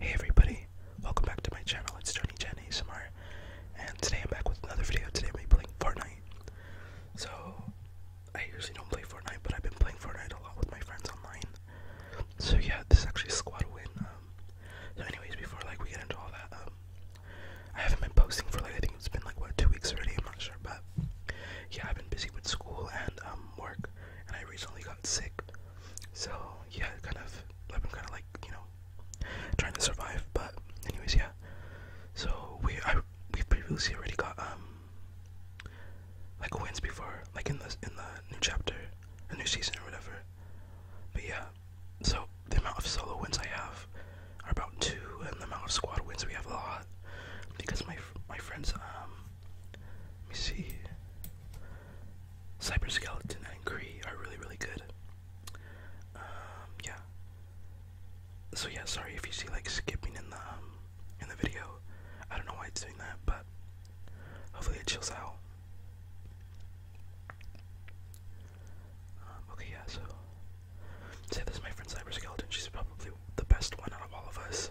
Hey everybody, welcome back to my channel, it's Johnny Jen ASMR, and today I'm back with another video, today I'm be playing Fortnite. So, I usually don't play Fortnite, but I've been playing Fortnite a lot with my friends online. So yeah, this is actually a squad win. Um, so anyways, before like we get into all that, um, I haven't been posting for like, I think it's been like, what, two weeks already, I'm not sure, but yeah, I've been busy with school and um, work, and I recently got sick. So yeah, kind of I've been kind of like you know trying to survive. But anyways, yeah. So we I we previously already got um like wins before, like in the in the new chapter, a new season or whatever. But yeah, so the amount of solo wins I have are about two, and the amount of squad wins we have a lot because my my friends um let me see. Cyber Skeleton and Kree are really, really good. Um, yeah. So yeah, sorry if you see like skipping in the um, in the video. I don't know why it's doing that, but hopefully it chills out. Um, okay, yeah. So, say this my friend Cyber Skeleton. She's probably the best one out of all of us.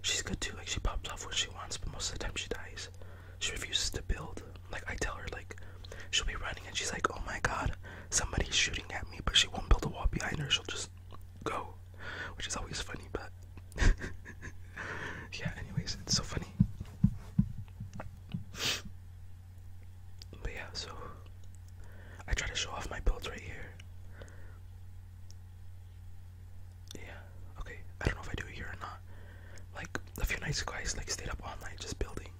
she's good too. Like she pops off when she wants, but most of the time she dies. She refuses to build. Like I tell her, like she'll be running and she's like, "Oh my God, somebody's shooting at me," but she won't build a wall behind her. She'll just go, which is always funny. But yeah, anyways, it's so funny. But yeah, so I try to show off my builds right here. Yeah, okay. I don't know if I do here or not. Like a few nights ago I like stayed up all night just building.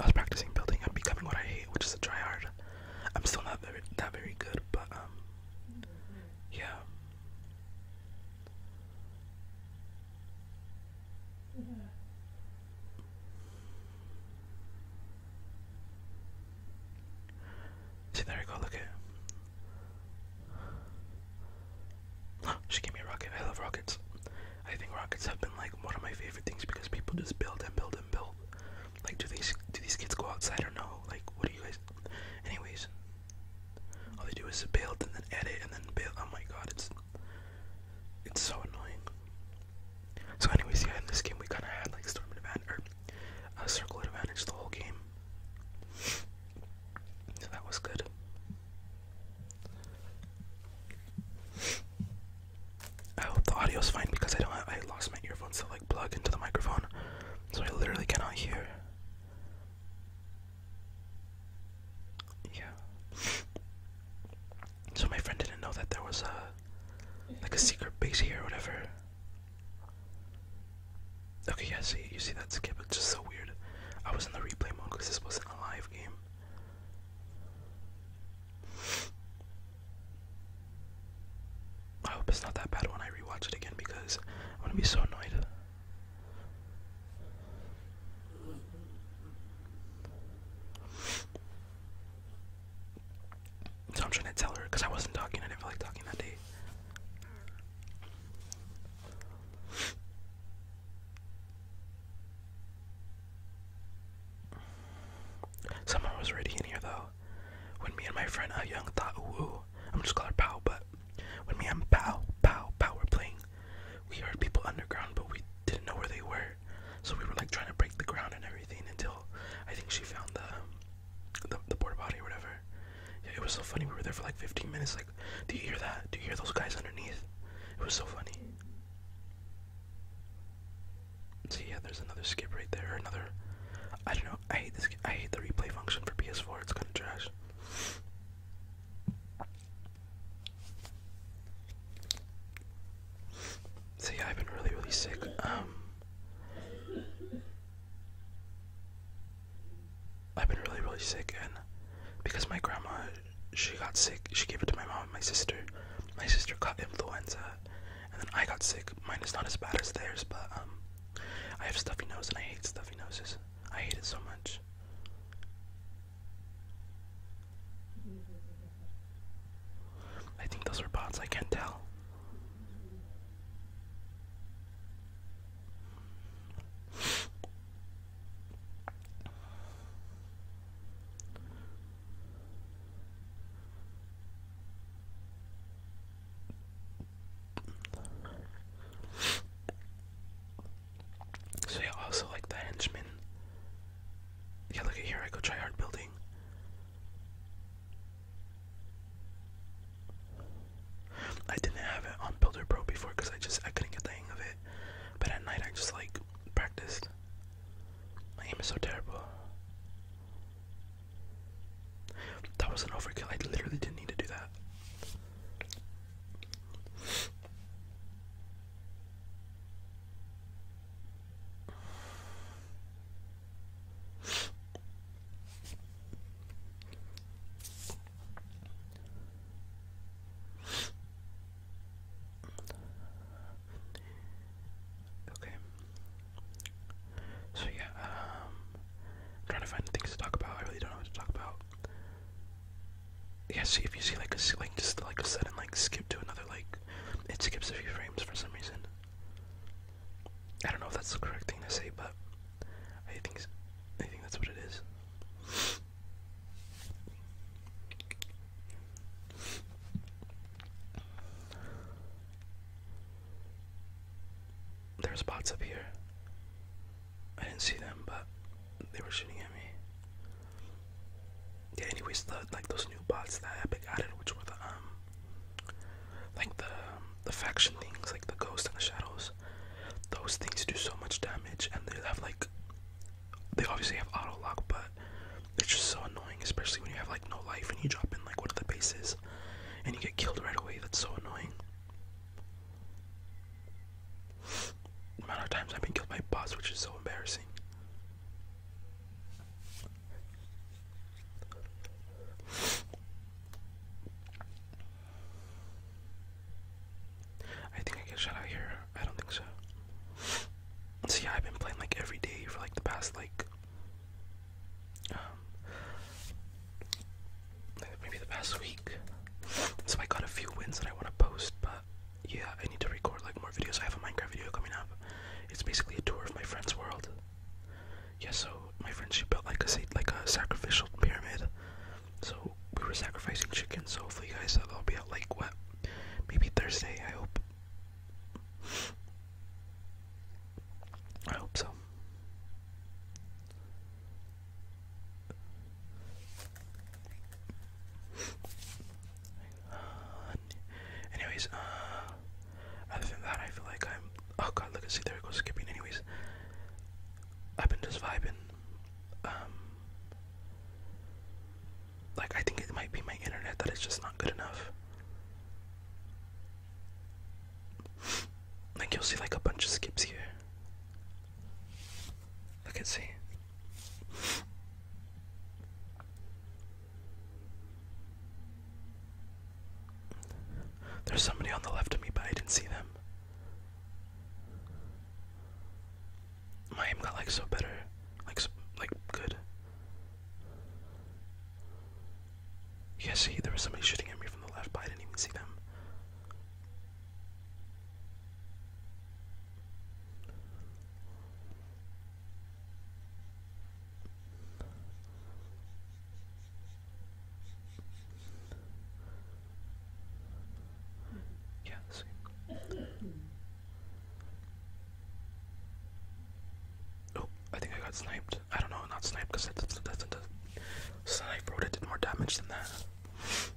I was practicing building and becoming what I hate, which is a tryhard. I'm still not very that very good, but um yeah. See, there we go, look at it. She gave me a rocket. I love rockets. I think rockets have been like one of my favorite things because people just build and build and build. Like, do these do these kids go outside or no? Like, what are you guys? Anyways, all they do is build and then edit and then build. Oh my god, it's it's so annoying. So, anyways, yeah, in this game we kind of had like storm advantage a uh, circle advantage the whole game. So that was good. I hope the audio's fine because I don't. I lost my earphones to like plug into the microphone, so I literally cannot hear. Yeah. So my friend didn't know that there was a like a secret base here or whatever. Okay, yeah, see, you see that skip? It's just so weird. I was in the replay mode because this wasn't a live game. I hope it's not that bad when I rewatch it again because I'm gonna be so annoyed. So I'm trying to tell her because I wasn't talking. I didn't feel like talking that day. Someone was already in here though. When me and my friend Ah Young thought, ooh, I'm just called Pow, but when me and Pow, Pow, Pow were playing, we heard people underground, but we didn't know where they were. So we were like trying to break the ground and everything until I think she found the um, the, the porta potty or whatever. Yeah, it was so funny. We were there for like 15 minutes. Like, do you hear that? Do you hear those guys underneath? It was so funny. See, yeah, there's another skip right there. Another. I don't know. I hate this. I hate the replay function for PS4. It's kind of trash. So I've been really, really sick. Um. I've been really, really sick, and because my grandma, she got sick, she gave it to my mom and my sister. My sister caught influenza, and then I got sick. Mine is not as bad as theirs, but um, I have stuffy nose, and I hate stuffy noses. I hate it so much. I think those were bots, I can't tell. So I also like the henchmen. Yeah, look at here. I go try hard building. I didn't have it on Builder Pro before because I just I couldn't get the hang of it. But at night I just like practiced. My aim is so terrible. That was an overkill. I literally didn't need to do that. Okay. So yeah, um i trying to find things to talk about. I really don't know what to talk about. Yeah, see if you see like a like just like a sudden like skip to another like it skips a few frames for some reason. I don't know if that's the correct thing to say, but I think I think that's what it is. There's bots up here. I didn't see them, but they were shooting at me. Yeah. Anyways, the like those new bots that Epic added, which were the um, like the the faction things, like the ghost and the shadows. Those things do so much damage, and they have like they obviously have auto lock, but it's just so annoying, especially when you have like no life and you drop in like one of the bases, and you get killed right away. That's so annoying. The amount of times I've been killed by boss, which is so embarrassing. I think I get shut out here. I don't think so. See, I've been playing like every day for like the past like um, maybe the past week. So I got a few wins that I want to post, but yeah, I need to record like more videos. I have a Minecraft video coming up. It's basically a tour of my friend's world yeah, so my friend she built like a like a sacrificial pyramid. So we were sacrificing chickens. So hopefully, you guys, that'll be at like what, maybe Thursday. I hope. I hope so. anyways, uh, other than that, I feel like I'm Oh god, look at see there it goes skipping. Anyways, I've been just vibing. Um, like I think it might be my internet that is just not good enough. Like you'll see like a bunch of skips here. Look at see. There's somebody on the left of me, but I didn't see them. My aim got like so better, like so, like good. Yeah, see, there was somebody shooting at me from the left, but I didn't even see them. Yeah, Oh, I think I got sniped. I don't know, not sniped because that's that's, that's, sniper would have did more damage than that.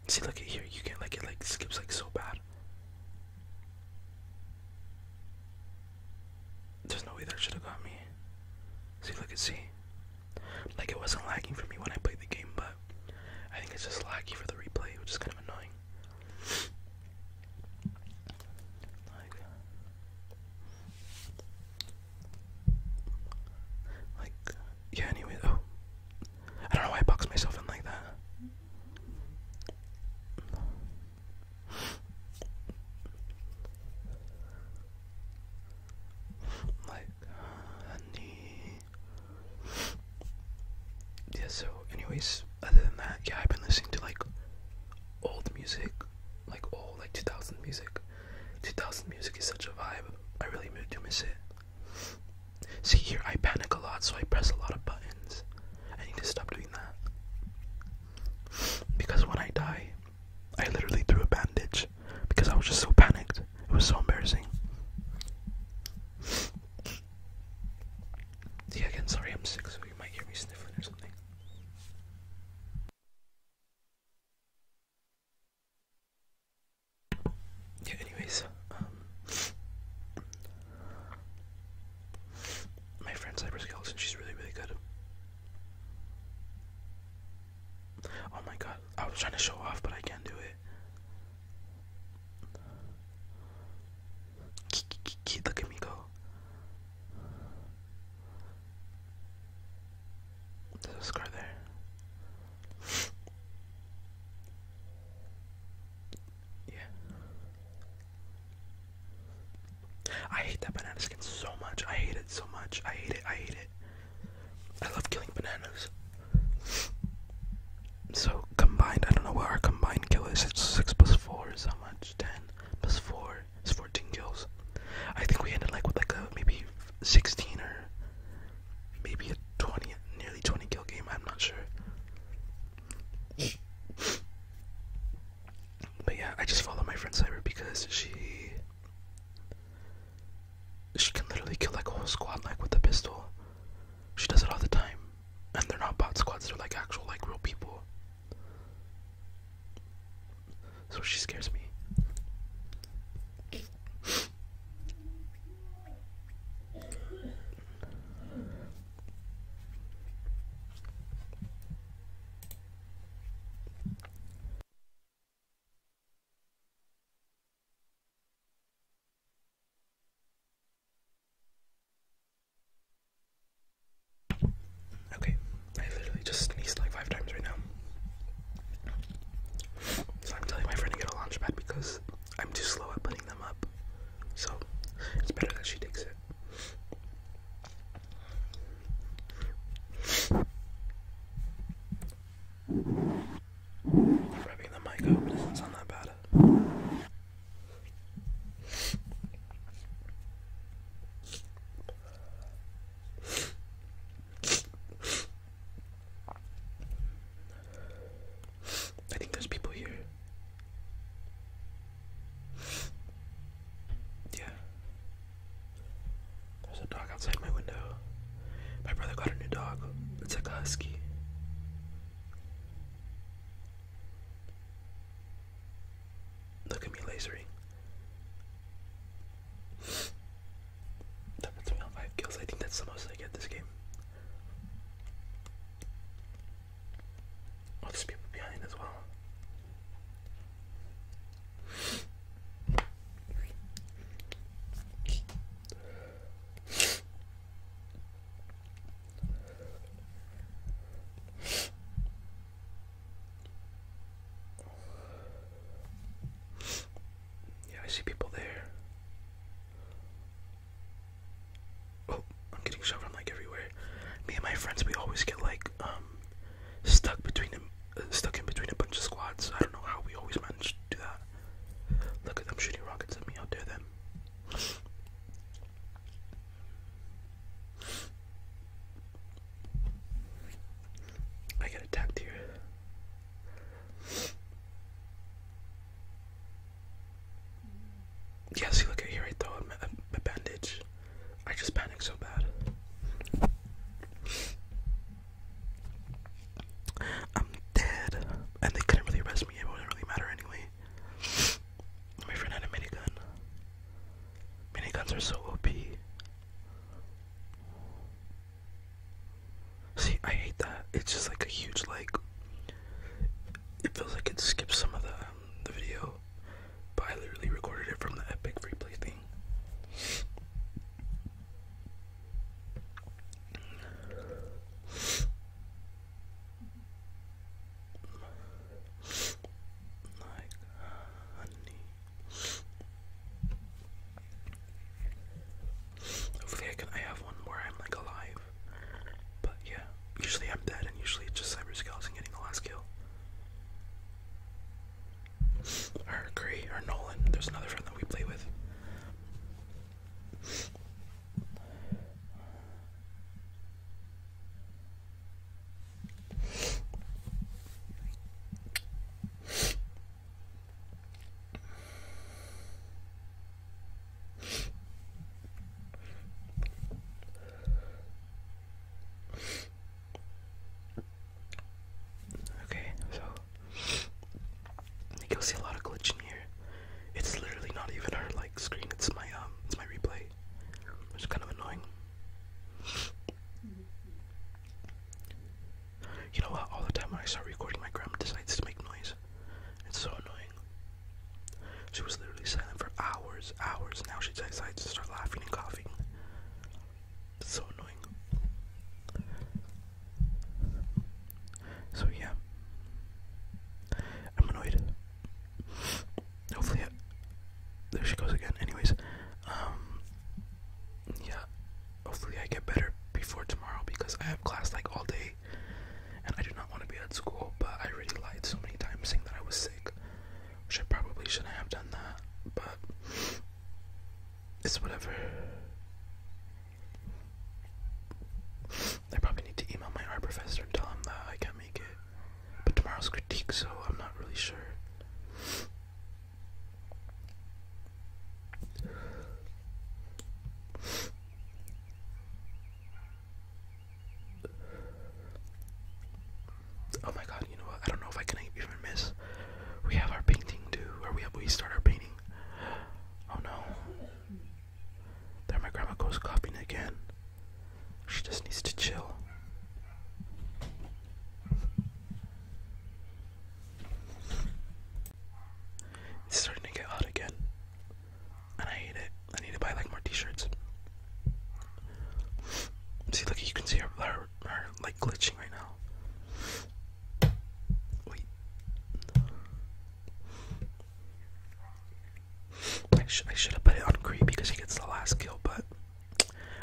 See, look at here. You get like it like skips like so bad. There's no way that should have got me. See, look at see. Like it wasn't lagging for me when I played the game, but I think it's just laggy for the replay, which is kind of annoying. Like, yeah. Anyway, oh, I don't know why I boxed myself in like that like honey. Yeah, so anyways, other than that, yeah, I've been listening to like old music, like old like 2000 music. 2000 music is such a vibe. I really do miss it. See here, I panic a lot, so I press a lot of buttons. I need to stop doing that. Because when I die, I literally threw a bandage because I was just so panicked. It was so embarrassing. Yeah, again, sorry, I'm sick, so you might hear me sniffling or something. Yeah, anyways, um, my friend Cyberskeleton, she's really, really good. Oh my god, I was trying to show off, but I can't do it. Look at me go. There's a scar there. Yeah. I hate that banana skin so much. I hate it so much. I hate it. I hate it. I love killing bananas. So combined, I don't know what our combined kill is. It's six plus four is how much? Ten plus four is fourteen kills. I think we ended like with like a maybe sixteen or maybe a twenty, nearly twenty kill game. I'm not sure. But yeah, I just follow my friend Cyber because she she can literally kill like a whole squad like with a pistol. She does it all the time. And they're not bot squads, they're like actual like real people. So she scares me. Okay, I literally just sneezed like five times right now. So I'm telling my friend to get a launch because I'm too slow at putting them up. So it's better that she takes it. Rubbing the mic doesn't sound that bad. I think there's people here. Yeah. There's a dog outside my window. My brother got a new dog. It's a husky. Look at me lasering. That puts me on five kills. I think that's the most I get this game. Oh, there's people behind as well. Yeah, I see people there. Oh, I'm getting shot from like everywhere. Me and my friends, we always get like um stuck between them, uh, stuck in between a bunch of squads. I don't know how we always manage to do that. Look at them shooting rockets at me. I'll dare them. I get attacked here. Yeah, see, look at here, right though. I'm, I'm a bandage. I just panicked so bad. I'm dead. And they couldn't really arrest me, it wouldn't really matter anyway. My friend had a minigun. Miniguns are so OP. See, I hate that. It's just like a huge like it feels like it skips some of the um, the video. But I literally recorded it from the Epic Free thing honey. Hopefully, I can. I have one where I'm like alive. But yeah, usually I'm dead, and usually it's just Cyber Skeleton getting the last kill or or Nolan. There's another friend that we play with. Okay, so you'll see a lot of glitching here. It's literally not even her like screen. It's my um, it's my replay, which is kind of annoying. You know what? All the time when I start recording, my grandma decides to make noise. It's so annoying. She was literally silent for hours, hours. Now she decides to start laughing and coughing so annoying. So yeah, I'm annoyed. Hopefully, there she goes again. Anyways, um, yeah. Hopefully, I get better before tomorrow because I have class like all day, and I do not want to be at school. But I really lied so many times saying that I was sick, which I probably shouldn't have done that. But it's whatever. I probably need to email my art professor and tell him that I can't make it. But tomorrow's critique, so I'm not really sure. Oh my god, you know what? I don't know if I can even miss we have our painting due, or we we start our painting. Oh no! There, my grandma goes copying again. She just needs to chill. It's starting to get hot again, and I hate it. I need to buy like more T-shirts. See, look, you can see her, her are, like glitching right now. Wait. I, sh I should have put it on creep because he gets the last kill, but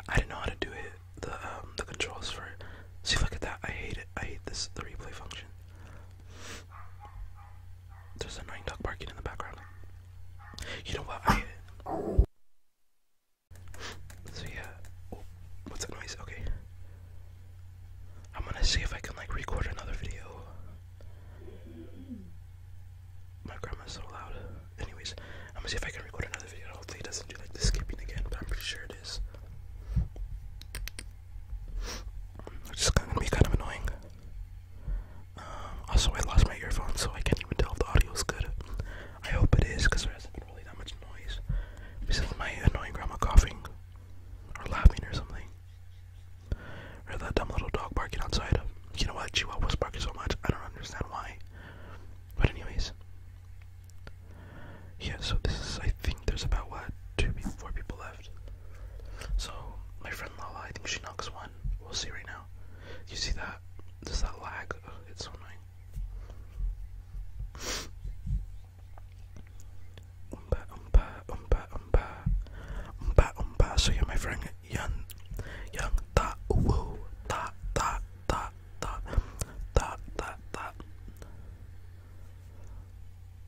I didn't know how to do it. The um, the controls for it. See, look at that. I hate it. I hate this the replay function. There's a annoying dog barking in the background. You know what? I so yeah, oh, what's that noise? Okay, I'm gonna see if I can like record another video. My grandma's so loud. Anyways, I'm gonna see if I can record another video. Hopefully, it doesn't do like the skipping again, but I'm pretty sure it is. It's just gonna be kind of annoying. Um, also, I lost my earphone, so I can't even tell if the audio is good. I hope it is, because cause not that much noise besides my annoying grandma coughing or laughing or something. Or that dumb little dog barking outside. You know what? Chihuahuas barking so much, I don't understand why. But anyways. Yeah, so this is, I think there's about, what, two, four people left. So, my friend Lala, I think she knocks one. We'll see right now. You see that? Does that lag? it's so annoying. Umba umba umba umba umba umba. So you're my friend, young, young ta woo ta ta ta ta ta ta ta.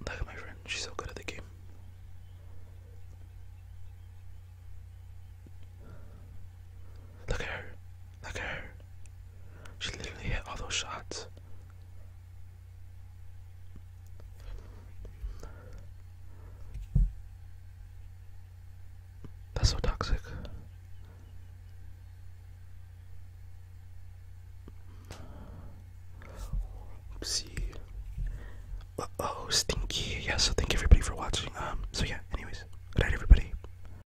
Look at my friend. She's so good at the game. Look at her. Look at her. She literally hit all those shots. That's so toxic. Oopsie. oh, stinky. Yeah, so thank everybody for watching. Um, so yeah, anyways, good night everybody.